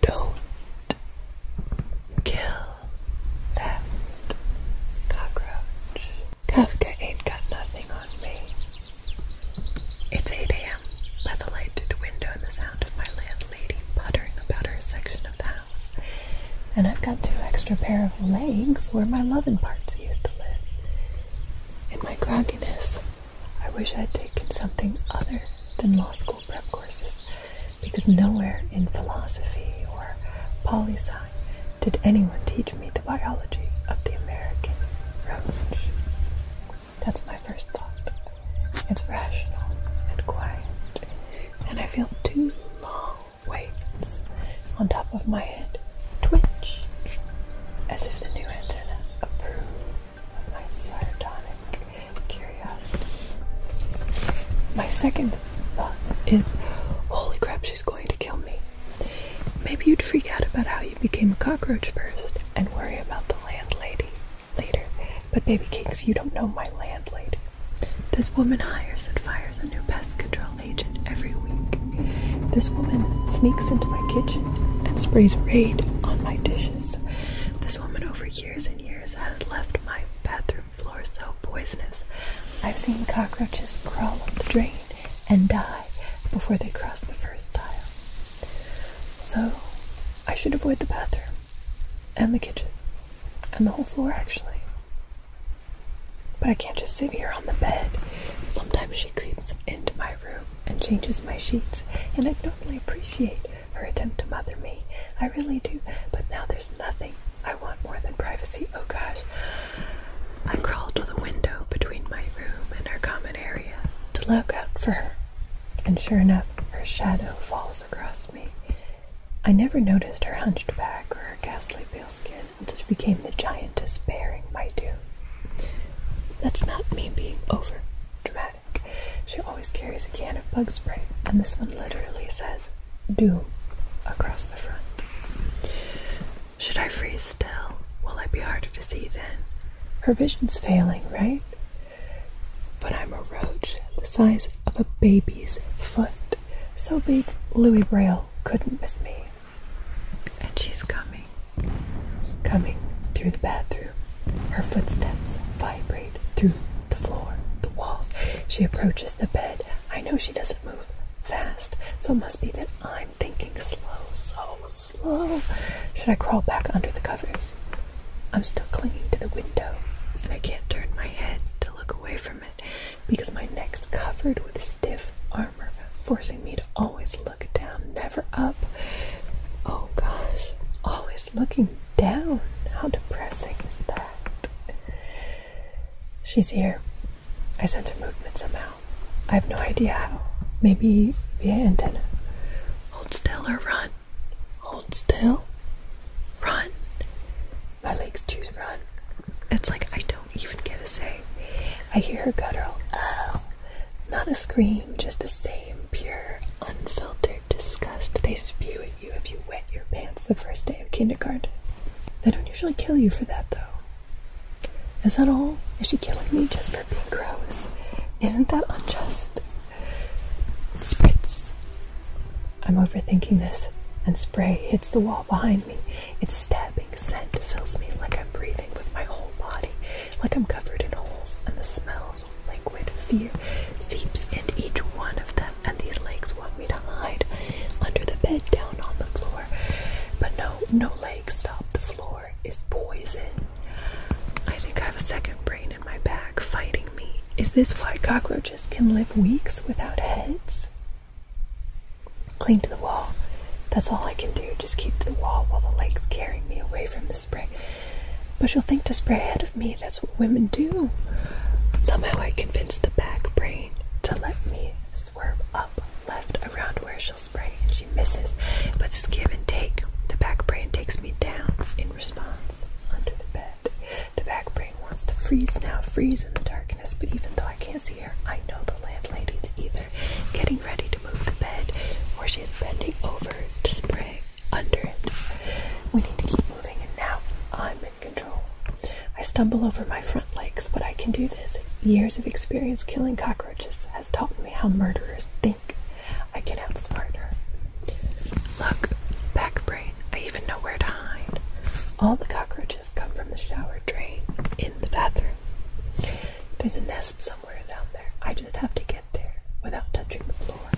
Don't kill that cockroach. Kafka ain't got nothing on me. It's 8 a.m. By the light through the window and the sound of my landlady puttering about her section of the house. And I've got two extra pair of legs where my lovin' parts used to live. In my grogginess, I wish I'd taken something other than law school prep courses because nowhere in philosophy or poli sci did anyone teach me the biology of the American roach. That's my first thought. It's rational and quiet, and I feel two long weights on top of my head twitch as if the new antenna approves my sardonic curiosity. My second thought is, holy crap, she's going to kill me. Maybe you'd freak out about how you became a cockroach first and worry about the landlady later. But, baby cakes, you don't know my landlady. This woman hires and fires a new pest control agent every week. This woman sneaks into my kitchen and sprays Raid on my dishes. This woman over here years and years have left my bathroom floor so poisonous. I've seen cockroaches crawl up the drain and die before they cross the first tile. So I should avoid the bathroom and the kitchen and the whole floor actually. But I can't just sit here on the bed. Sometimes she creeps into my room and changes my sheets, and I'd normally appreciate her attempt to mother me. I really do, but now there's nothing I want more than privacy. Oh gosh. I crawled to the window between my room and her common area to look out for her, and sure enough, her shadow falls across me. I never noticed her hunched back or her ghastly pale skin until she became the giantess bearing my doom. That's not me being over dramatic. She always carries a can of bug spray, and this one literally says "Do" across the front. Should I freeze still? Will I be harder to see then? Her vision's failing, right? But I'm a roach the size of a baby's foot, so big Louis Braille couldn't miss me. And she's coming. Coming through the bathroom, her footsteps vibrate through the floor, the walls. She approaches the bed. I know she doesn't move fast, so it must be that I'm thinking slow, so slow. Should I crawl back under the covers? I'm still clinging to the window, and I can't turn my head to look away from it because my neck's covered with stiff armor, forcing me to always look look down, never up. Oh gosh, always looking down. How depressing is that? She's here. I sense her movement somehow. I have no idea how. Maybe via antenna. Hold still or run. Hold still. Run. My legs choose run. It's like I don't even get a say. I hear her guttural. Oh. Not a scream, just the same pure, unfiltered disgust they spew at you if you wet your pants the first day of kindergarten. They don't usually kill you for that, though. Is that all? Is she killing me just for being gross? Isn't that unjust? Spritz. I'm overthinking this, and spray hits the wall behind me. Its stabbing scent fills me like I'm breathing with my whole body, like I'm covered in holes, and the smells liquid fear seeps into each one of them, and these legs want me to hide under the bed, down on the floor. But no, no legs stop. The floor is poison. I think I have a second brain in my back fighting me. Is this why cockroaches can live weeks without heads? Cling to the wall. That's all I can do. Just keep to the wall while the legs carry me away from the spray. But she will think to spray ahead of me. That's what women do. Somehow I convince the back brain to let me swerve up left around where she'll spray and she misses. But it's give and take. The back brain takes me down in response under the bed. The back brain wants to freeze now, freeze in the darkness. But even though I can't see her, I know the landlady's either getting ready to move the bed, where she's bending over to spray under it. We need to keep moving, and now I'm in control. I stumble over my front legs, but I can do this. Years of experience killing cockroaches has taught me how murderers think. I can outsmart her. Look, back brain, I even know where to hide. All the cockroaches come from the shower drain in the bathroom. There's a nest somewhere down there. I just have to get there without touching the floor.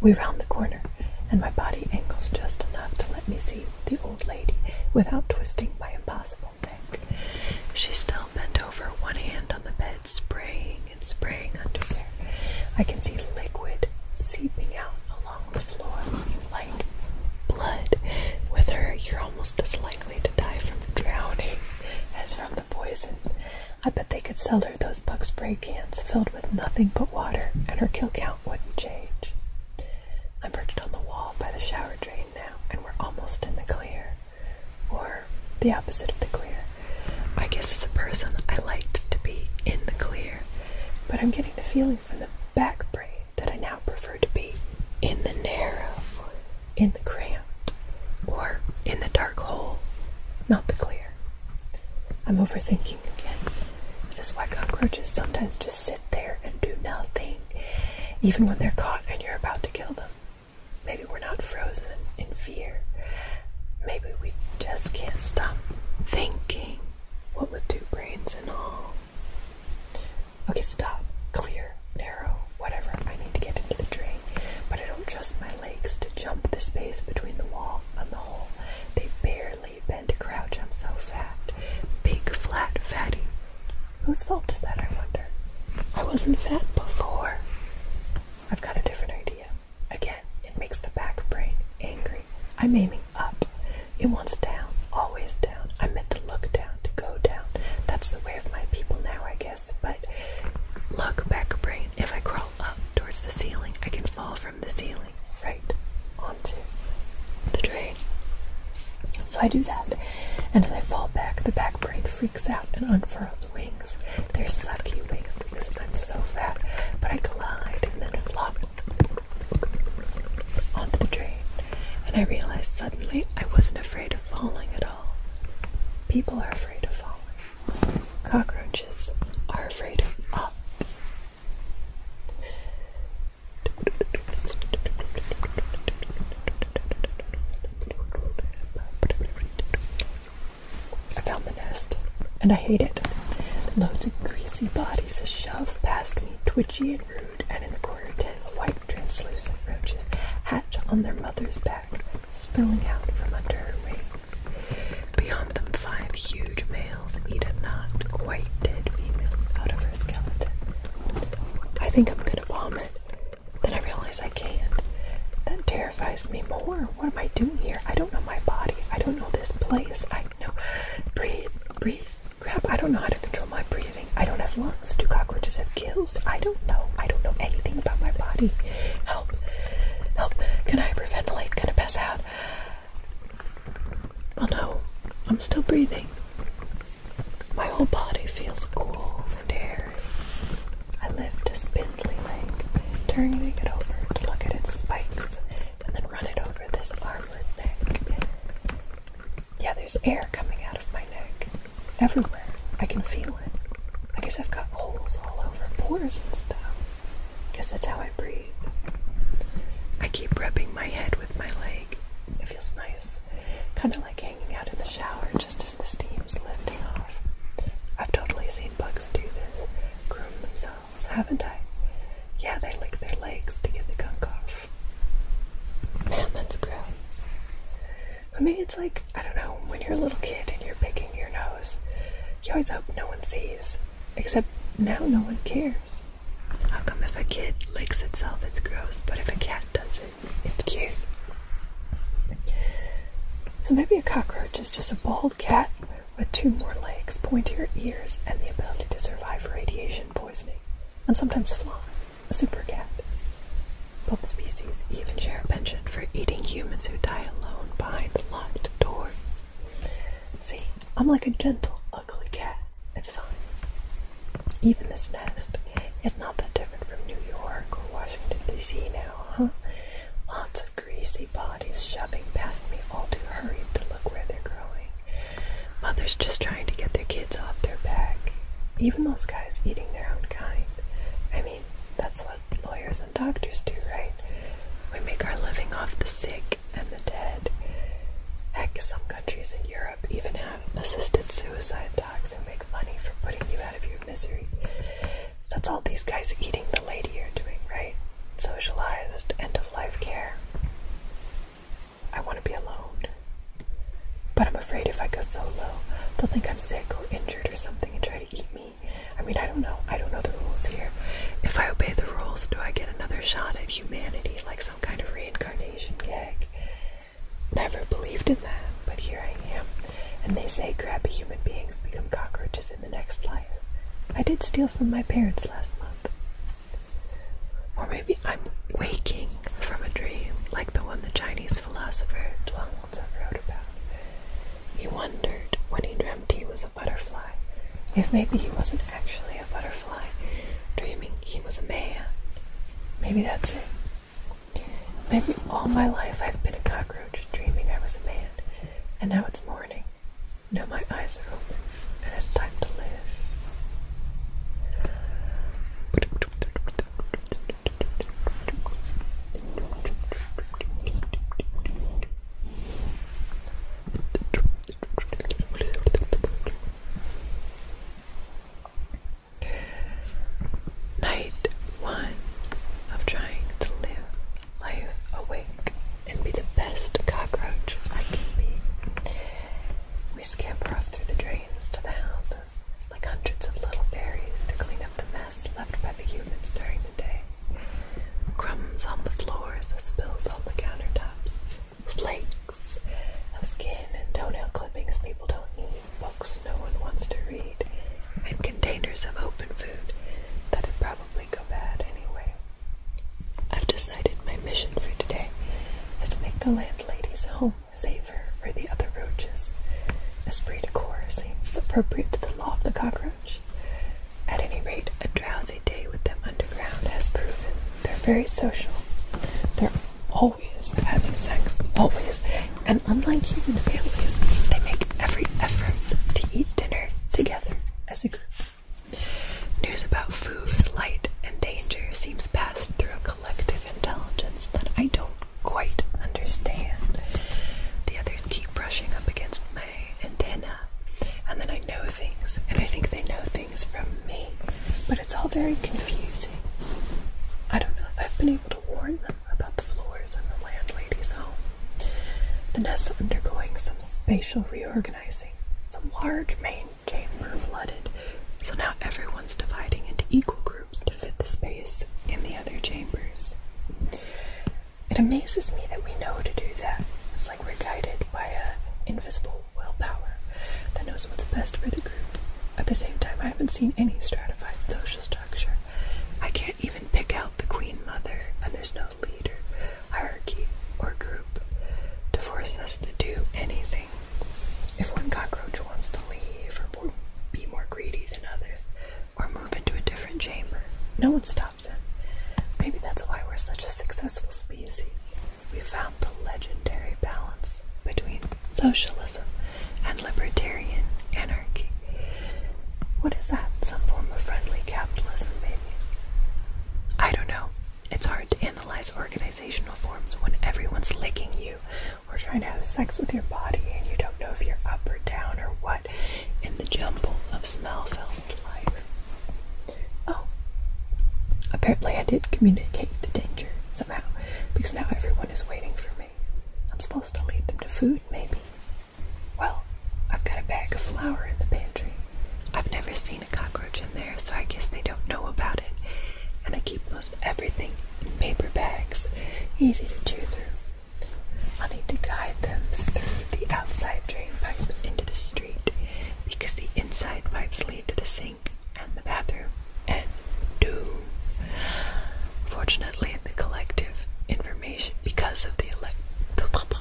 We round the corner, and my body angles just enough to let me see the old lady without twisting my impossible neck. She still bent over, one hand on the bed, spraying and spraying under there. I can see liquid seeping out along the floor like blood. With her, you're almost as likely to die from drowning as from the poison. I bet they could sell her those bug spray cans filled with nothing but water, and her kill count wouldn't change. I'm perched on the wall by the shower drain now, and we're almost in the clear. Or the opposite of the clear. I guess as a person, I liked to be in the clear, but I'm getting the feeling from the back brain that I now prefer to be in the narrow in the cramp, or in the dark hole, not the clear. I'm overthinking again. This is why cockroaches sometimes just sit there and do nothing, even when they're caught and you're about to kill them. Maybe we're not frozen in fear. Maybe we just can't stop thinking. What with two brains and all. Okay, stop. Clear, narrow, whatever. I need to get into the drain, but I don't trust my legs to jump the space between the wall and the hole. They barely bend to crouch. I'm so fat. Big, flat, fatty. Whose fault is that, I wonder? I wasn't fat before. I've got a different idea. Again, it makes the back brain angry. I'm aiming up. It wants down, always down. I'm meant to look down to go down. That's the way of my people now, I guess. But look, back brain, if I crawl up towards the ceiling, I can fall from the ceiling right onto the drain. So I do that, and as I fall back, the back brain freaks out and unfurls wings. They're sucky wings because I'm so fat, but I glide and then flop onto the drain. And I realize suddenly I wasn't afraid of falling at all. People are afraid of falling. Cockroaches are afraid of up. I found the nest, and I hate it. Loads of greasy bodies shove past me, twitchy and rude, and in the corner tent, white translucent roaches hatch on their mother's back, spilling out from under her wings. Beyond them, five huge males eat a not quite dead female out of her skeleton. I think I'm gonna vomit. Then I realize I can't. That terrifies me more. What am I doing here? I don't know my body. I don't know this place. I know. Breathe, breathe, Crap, I don't know how to control my breathing. I don't have lungs. Do cockroaches have gills? I don't know. I don't know anything about my body. Help. Help. Can I hyperventilate? Can I pass out? Oh no. I'm still breathing. My whole body feels cool and airy. I lift a spindly leg, turning it over to look at its spikes, and then run it over this armored neck. Yeah, there's air coming out of my neck. Everywhere. I can feel it. I guess I've got holes all over, pores and stuff. Guess that's how I breathe. I keep rubbing my head with my leg. It feels nice. Kind of like hanging out in the shower just as the steam's lifting off. I've totally seen bugs do this, groom themselves, haven't I? Yeah, they lick their legs to get the gunk off. Man, that's gross. But maybe it's like, I don't know, when you're a little kid and you're picking your nose, you always hope no one sees. Except now no one cares. How come if a kid licks itself, it's gross, but if a cat does it, it's cute? So maybe a cockroach is just a bald cat with two more legs, pointier ears, and the ability to survive radiation poisoning, and sometimes fly. Super cat. Both species even share a penchant for eating humans who die alone behind locked doors. See, I'm like a gentle, ugly cat. It's fine. Even this nest is not that different from New York or Washington, D.C. now, huh? Lots of greasy bodies shoving past me, all too hurried to look where they're going. Mothers just trying to get their kids off their back. Even those guys eating their own kind. I mean, that's what lawyers and doctors do, right? We make our living off the sick and the dead. Heck, some countries in Europe even have assisted suicide docs who make money for putting you out of your misery. That's all these guys eating the lady are doing, right? Socialized, end of life care. I want to be alone. But I'm afraid if I go solo, they'll think I'm sick or injured or something and try to eat me. I mean, I don't know. I don't know the rules here. If I obey the rules, do I get another shot at humanity, like some kind of reincarnation gag? Never believed in that, but here I am. And they say crappy human beings become cockroaches in the next life. I did steal from my parents last month. Or maybe I'm waking from a dream, like the one the Chinese philosopher Zhuangzi wrote about. He wondered when he dreamt he was a butterfly if maybe he wasn't actually a butterfly, dreaming he was a man. Maybe that's it. Maybe all my life I've been a cockroach, dreaming I was a man, and now it's morning. Now my eyes are open and it's time to live. Night one of trying to live life awake and be the best cockroach I can be. We scamper off through the drains to the houses, like hundreds of little fairies, to clean up the mess left by the humans during the day. Crumbs on the floors, spills on the countertops, flakes of skin and toenail clippings people don't need, books no one wants to read, and containers of open food that'd probably go bad anyway. I've decided my mission for today is to make the landlady's home safer for the other roaches. Esprit de corps seems appropriate to the law of the cockroach. At any rate, a drowsy day with them underground has proven they're very social. They're always having sex, always. And unlike human families, they make every effort to eat dinner together as a group. News about food, light, and danger seems passed through a collective intelligence that I don't quite understand. The others keep brushing up against my antenna, and then I know things, and I think they know things from me, but it's all very confusing. I don't know if I've been able to warn them about the floors in the landlady's home. The nest is undergoing some spatial reorganizing. Some large main Chamber flooded, so now everyone's dividing into equal groups to fit the space in the other chambers. It amazes me that we know to do that. It's like we're guided by a invisible willpower that knows what's best for the group. At the same time, I haven't seen any stratified social structure. I can't even pick out the Queen Mother, and there's no leader hierarchy, or group to force us to do anything. If one cockroach wants to leave or be more greedy than others or move into a different chamber, no one stops him. Maybe that's why we're such a successful species. We found the legendary balance between socialism and libertarian anarchy. What is that? Some form of friendly capitalism, maybe? I don't know. It's hard to analyze organizational forms when everyone's licking you or trying to have sex with your body and you don't know if you're up or down or what in the jumble of smell filled life. Oh, apparently I did communicate the danger somehow because now everyone is waiting for me. I'm supposed to lead them to food, maybe. Well, I've got a bag of flour in the pantry. I've never seen a cockroach in there, so I guess they don't know about it. And I keep most everything in paper bags, easy to chew through. i need to guide them through the outside drain pipe into the street because the inside pipes lead to the sink and the bathroom and doom. Fortunately, the collective information because of the elect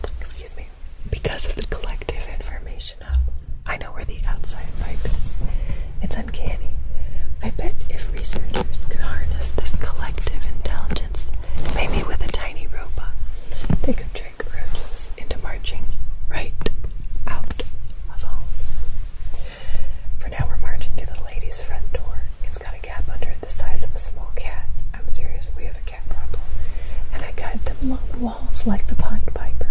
excuse me because of the collective information hub. I know where the outside pipe is. It's uncanny. I bet if researchers could harness this collective intelligence, maybe with a tiny robot, they could trick roaches into marching right out of homes. For now, we're marching to the lady's front door. It's got a gap under it the size of a small cat. I'm serious, we have cat problem, and I guide them along the walls like the Pied Piper.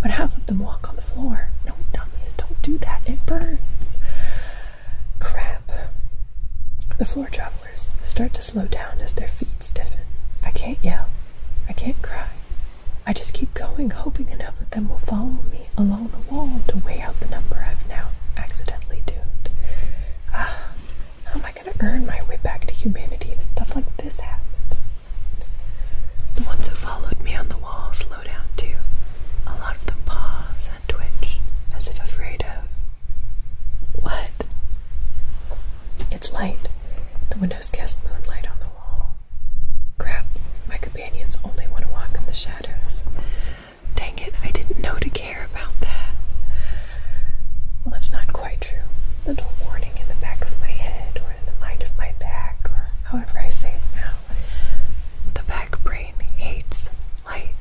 But half of them walk on the floor? No, dummies, don't do that. It burns. Crap. The floor travelers start to slow down as their feet stiffen. I can't yell. I can't cry. I just keep going, hoping enough of them will follow me along the wall to weigh out the number I've now accidentally doomed. Ah, how am going to earn my way back to humanity if stuff like this happens. The ones who followed me on the wall slow down too. A lot of them pause and twitch, as if afraid of. What? It's light. The windows cast moonlight on the wall. Crap, my companions only want to walk in the shadows. Dang it, I didn't know to care about that. Well, that's not quite true. The dull warning in the back of my head, or in the mind of my back, or however I say it now. The back brain hates light.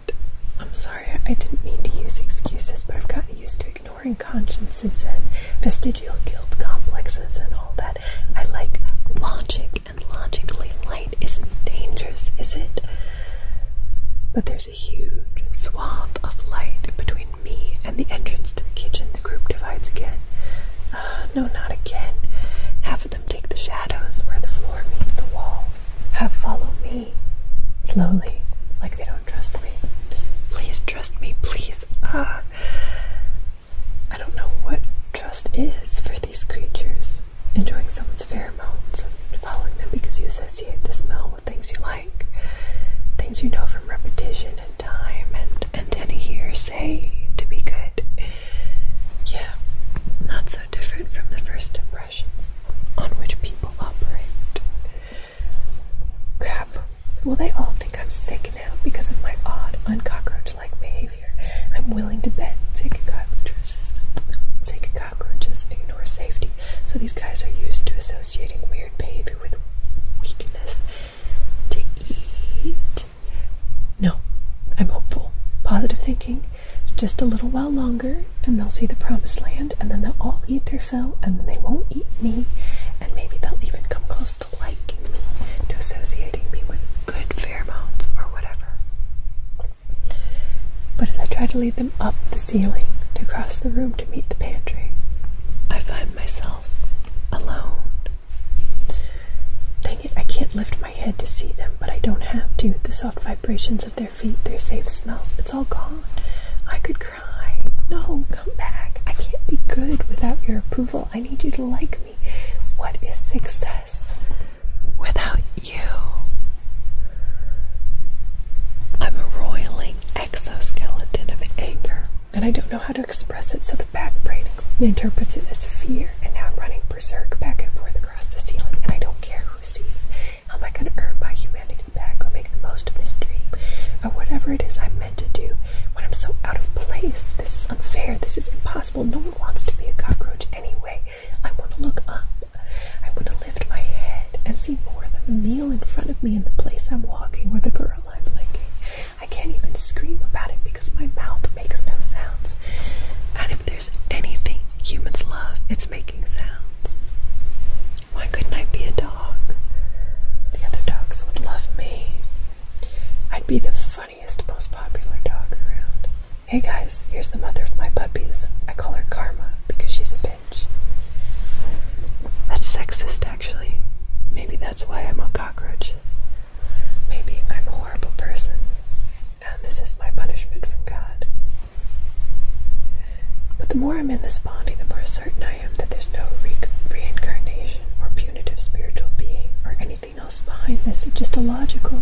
I'm sorry, I didn't mean to use excuses, but I've gotten used to ignoring consciences and vestigial guilt complexes and all that. I like logic, and logically, light isn't dangerous, is it? But there's a huge swath of light between me and the entrance to the kitchen. The group divides again. Uh, no, not again. Half of them take the shadows where the floor meets the wall. Half follow me. Slowly, like they don't trust me. Please trust me, please. Ah. I don't know what trust is for these creatures. Enjoying someone's pheromones and following them because you associate the smell with things you like like things you know from repetition and time and and any hearsay to be good. Yeah, not so different from the first impressions on which people operate. Crap. Well, they all think I'm sick now because of my odd, uncockroach-like behavior. I'm willing to bet take cockroaches, sick cockroaches ignore safety, so these guys are used to associating weird behavior with weakness to eat. No, I'm hopeful. Positive thinking. Just a little while longer, and they'll see the promised land, and then they'll all eat their fill, and they won't eat me, and maybe they'll even come close to liking me, to associating me with good pheromones or whatever. But as I try to lead them up the ceiling to cross the room to meet the pantry. I find myself alone. Dang it, I can't lift my head to see them, but I don't have to. The soft vibrations of their feet, their safe smells, it's all gone. I could cry. No, come back. I can't be good without your approval. I need you to like me. What is success without you? I'm roiling exoskeleton of anger, and I don't know how to express it, so the back brain interprets it as fear, and now I'm running berserk back and forth across the ceiling, and I don't care who sees. How am I going to earn my humanity back or make the most of this dream? Or whatever it is I'm meant to do when I'm so out of place. This is unfair. This is impossible. No one wants to be a cockroach anyway. I want to look up. I want to lift my head and see more than the meal in front of me and the place I'm walking where the girl I'm liking. I can't even scream about it because my mouth makes no sounds. And if there's anything humans love, it's making sounds. Why couldn't I be a dog? The other dogs would love me. I'd be the funniest, most popular dog around. Hey guys, here's the mother of my puppies. I call her Karma because she's a bitch. That's sexist, actually. Maybe that's why I'm a cockroach. Maybe I'm a horrible person, and this is my punishment from God. But the more I'm in this body, the more certain I am that there's no reincarnation or punitive spiritual being or anything else behind this. It's just a logical.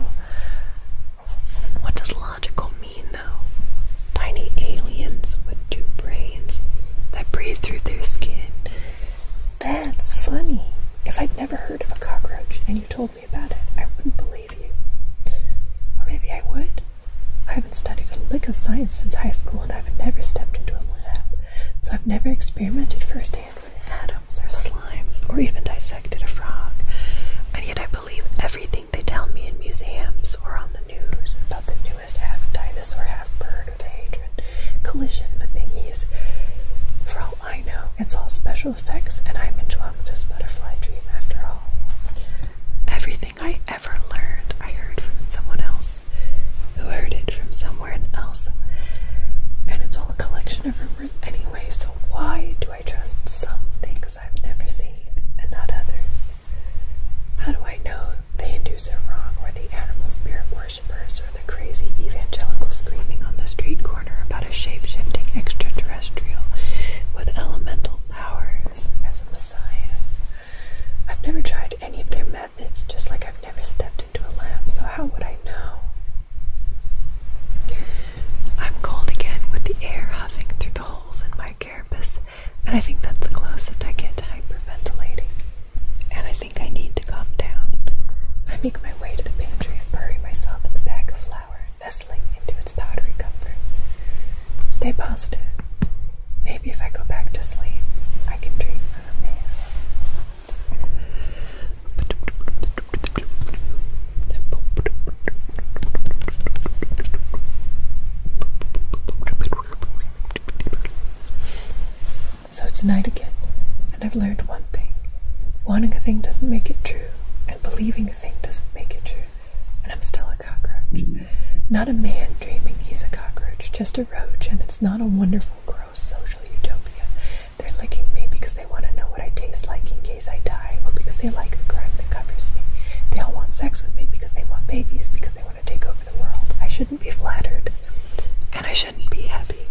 What does logical mean? mean, though? Tiny aliens with two brains that breathe through their skin. That's funny. If I'd never heard of a cockroach and you told me about it, I wouldn't believe you. Or maybe I would. I haven't studied a lick of science since high school and I've never stepped into a lab, so I've never experimented firsthand with atoms or slimes or even dissected a frog. And yet I believe everything everything they tell me in museums or on the news about the newest half dinosaur, half bird with a hatred collision with thingies. For all I know, it's all special effects, and I'm in Chuang's butterfly dream after all. Everything I ever learned, I heard from someone else who heard it from somewhere else. And it's all a collection of rumors anyway, so why do I trust some things I've never seen and not others. How do I know they Hindus are wrong, or the animal spirit worshippers, or the crazy evangelical screaming on the street corner about a shape shifting extraterrestrial with elemental powers as a messiah? I've never tried any of their methods, just like I've never stepped into a lamp, so how would I know? I'm cold again with the air huffing through the holes in my and I think that's the closest I get to hyperventilating. And I think I need to calm down. I make my way to the pantry and bury myself in the bag of flour, nestling into its powdery comfort. Stay positive. Maybe if I go back to sleep, I can dream of a man. So it's night again, and I've learned one thing. Wanting a thing doesn't make it true, and believing a thing doesn't make it true. And I'm still a cockroach. Not a man dreaming he's a cockroach, just a roach, and it's not a wonderful, gross social utopia. They're licking me because they want to know what I taste like in case. I die, or because they like the crime that covers me. They all want sex with me because they want babies, because they want to take over the world. I shouldn't be flattered, and I shouldn't be happy.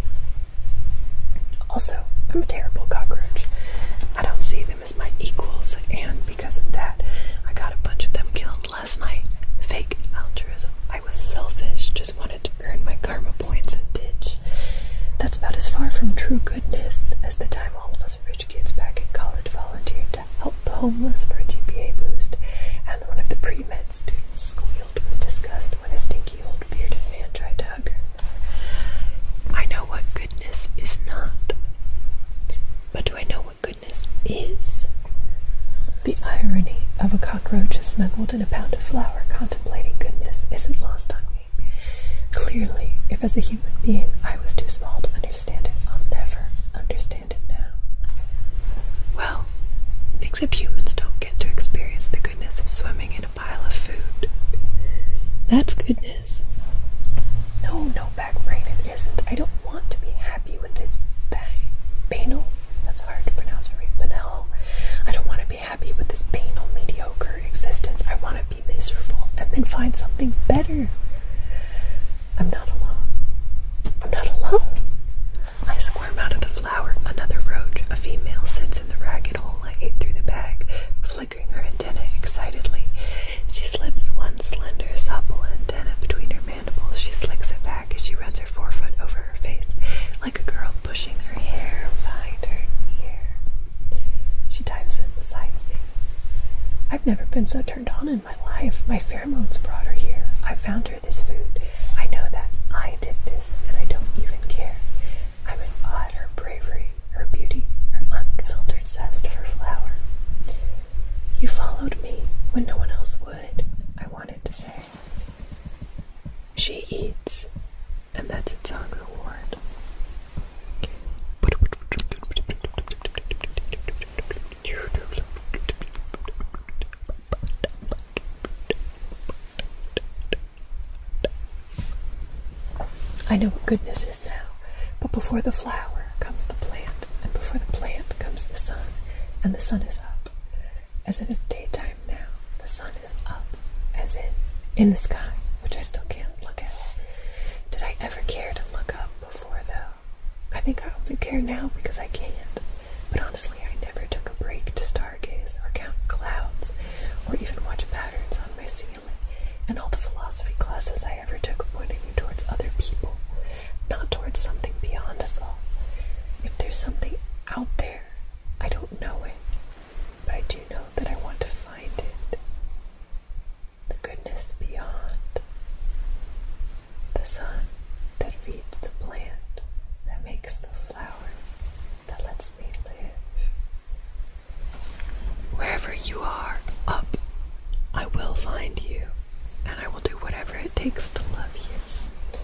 Also, I'm a terrible cockroach. I don't see them as my equals, and because of that, I got a bunch of them killed last night. Fake altruism. I was selfish, just wanted to earn my karma points and ditch. That's about as far from true goodness as the time all of us rich kids back at college volunteered to help the homeless for a GPA boost, and one of the pre-med students squealed with disgust when a stinky old bearded man tried to hug her. I know what goodness is not, but do I know what goodness is? The irony of a cockroach snuggled in a pound of flour contemplating goodness isn't lost on me. Clearly, if as a human being I was too small to understand it, I'll never understand it now. Well, except humans don't get to experience the goodness of swimming in a pile of food. That's goodness. No, no, back backbrain, it isn't. I don't want to be happy with this banal. That's hard to pronounce for Banal. I don't want to be happy with this banal, mediocre existence. I want to be be miserable and then find something better. I'm not alone. I'm not alone. I squirm out of the flower. Another roach, a female, sits in the ragged hole I ate through the bag, flickering her antennae excitedly. She slips one slender, supple antenna between her mandibles. She slicks it back as she runs her forefoot over her face, like a girl pushing her hair behind her ear. She dives in besides me. I've never been so turned on in my life. My pheromones brought her here. I found her this food. I know that I did this, and I don't even care. I'm in awe at her bravery, her beauty, her unfiltered zest for flower. You followed me when no one else would, I wanted to say. She eats, and that's its own reward. I know what goodness is now, but before the flower comes the plant, and before the plant comes the sun, and the sun is up. As it is daytime now, the sun is up, as in in the sky, which I still can't look at. Did I ever care to look up before, though? I think I only care now because I can't. But honestly, I never took a break to stargaze or count clouds or even watch patterns on my ceiling. And all the philosophy classes I ever took pointed me towards other people, not towards something beyond us all. If there's something out there, I don't know it but I do know that I want to find it. The goodness beyond. The sun that feeds the plant, that makes the flower, that lets me live. Wherever you are, up, I will find you, and I will do whatever it takes to love you.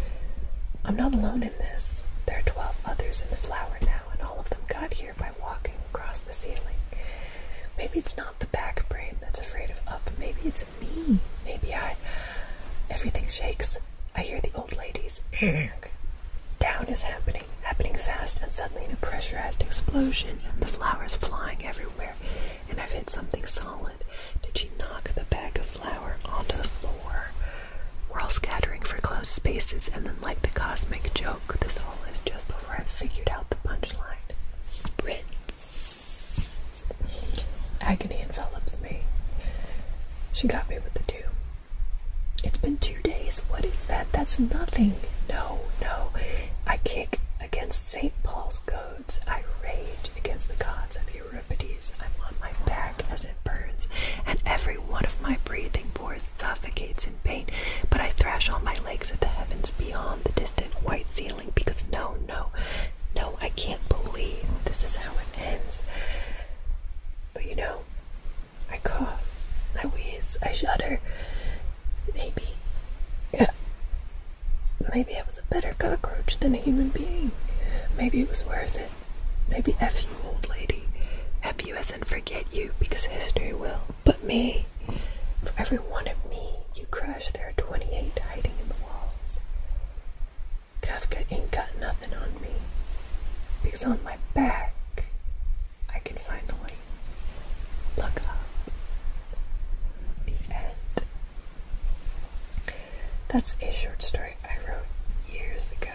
I'm not alone in this. There are 12 others in the flower now, and all of them got here by walking across the ceiling. Maybe it's not the back brain that's afraid of up. Maybe it's me. Maybe I. Everything shakes. I hear the old lady's ladies. Down is happening, happening fast, and suddenly in a pressurized explosion, the flowers flying everywhere, and I've hit something solid. Did she knock the bag of flour onto the floor? We're all scattering for closed spaces, and then, like the cosmic joke, this just before I figured out the punchline. Spritz. Agony envelops me. She got me with the two. It's been two days. What is that? That's nothing. No, no. I kick against St. Paul's codes. I rage against the gods of Euripides. I'm on my back as it burns, and every one of my breathing and suffocates in pain, but I thrash all my legs at the heavens beyond the distant white ceiling because no, no, no, I can't believe this is how it ends. But you know, I cough, I wheeze, I shudder. Maybe, yeah, maybe I was a better cockroach than a human being. Maybe it was worth it. Maybe F you, old lady. F love you hasn't forget you because history will. But me, for every one of me you crush, there are 28 hiding in the walls. Kafka ain't got nothing on me because on my back I can finally look up. The end. That's a short story I wrote years ago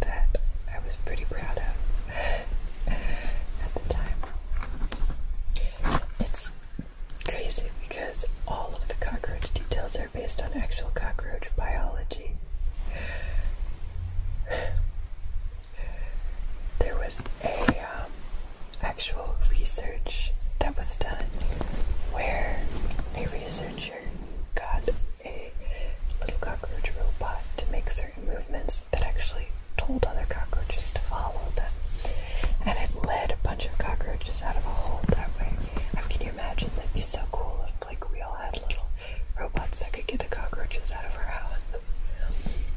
that I was pretty proud of at the time. It's crazy because all of the cockroach details are based on actual cockroach biology. There was a um, actual research that was done where a researcher got a little cockroach robot to make certain movements that actually told other cockroaches to follow them. And it led a bunch of cockroaches out of a hole that way. I can you imagine? That'd be so cool if like we all had little robots that could get the cockroaches out of our house.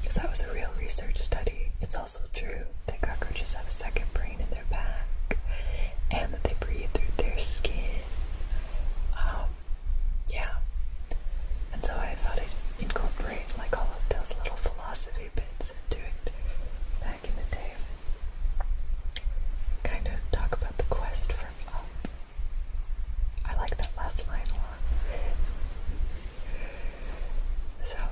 Because that was a real research study. It's also true that cockroaches have a second brain in their back and that they breathe through their skin. Um, yeah. And so I thought I'd incorporate like all of those little philosophy bits into it back in the day. Kind of talk about the quest from um, up. I like that last line a lot. so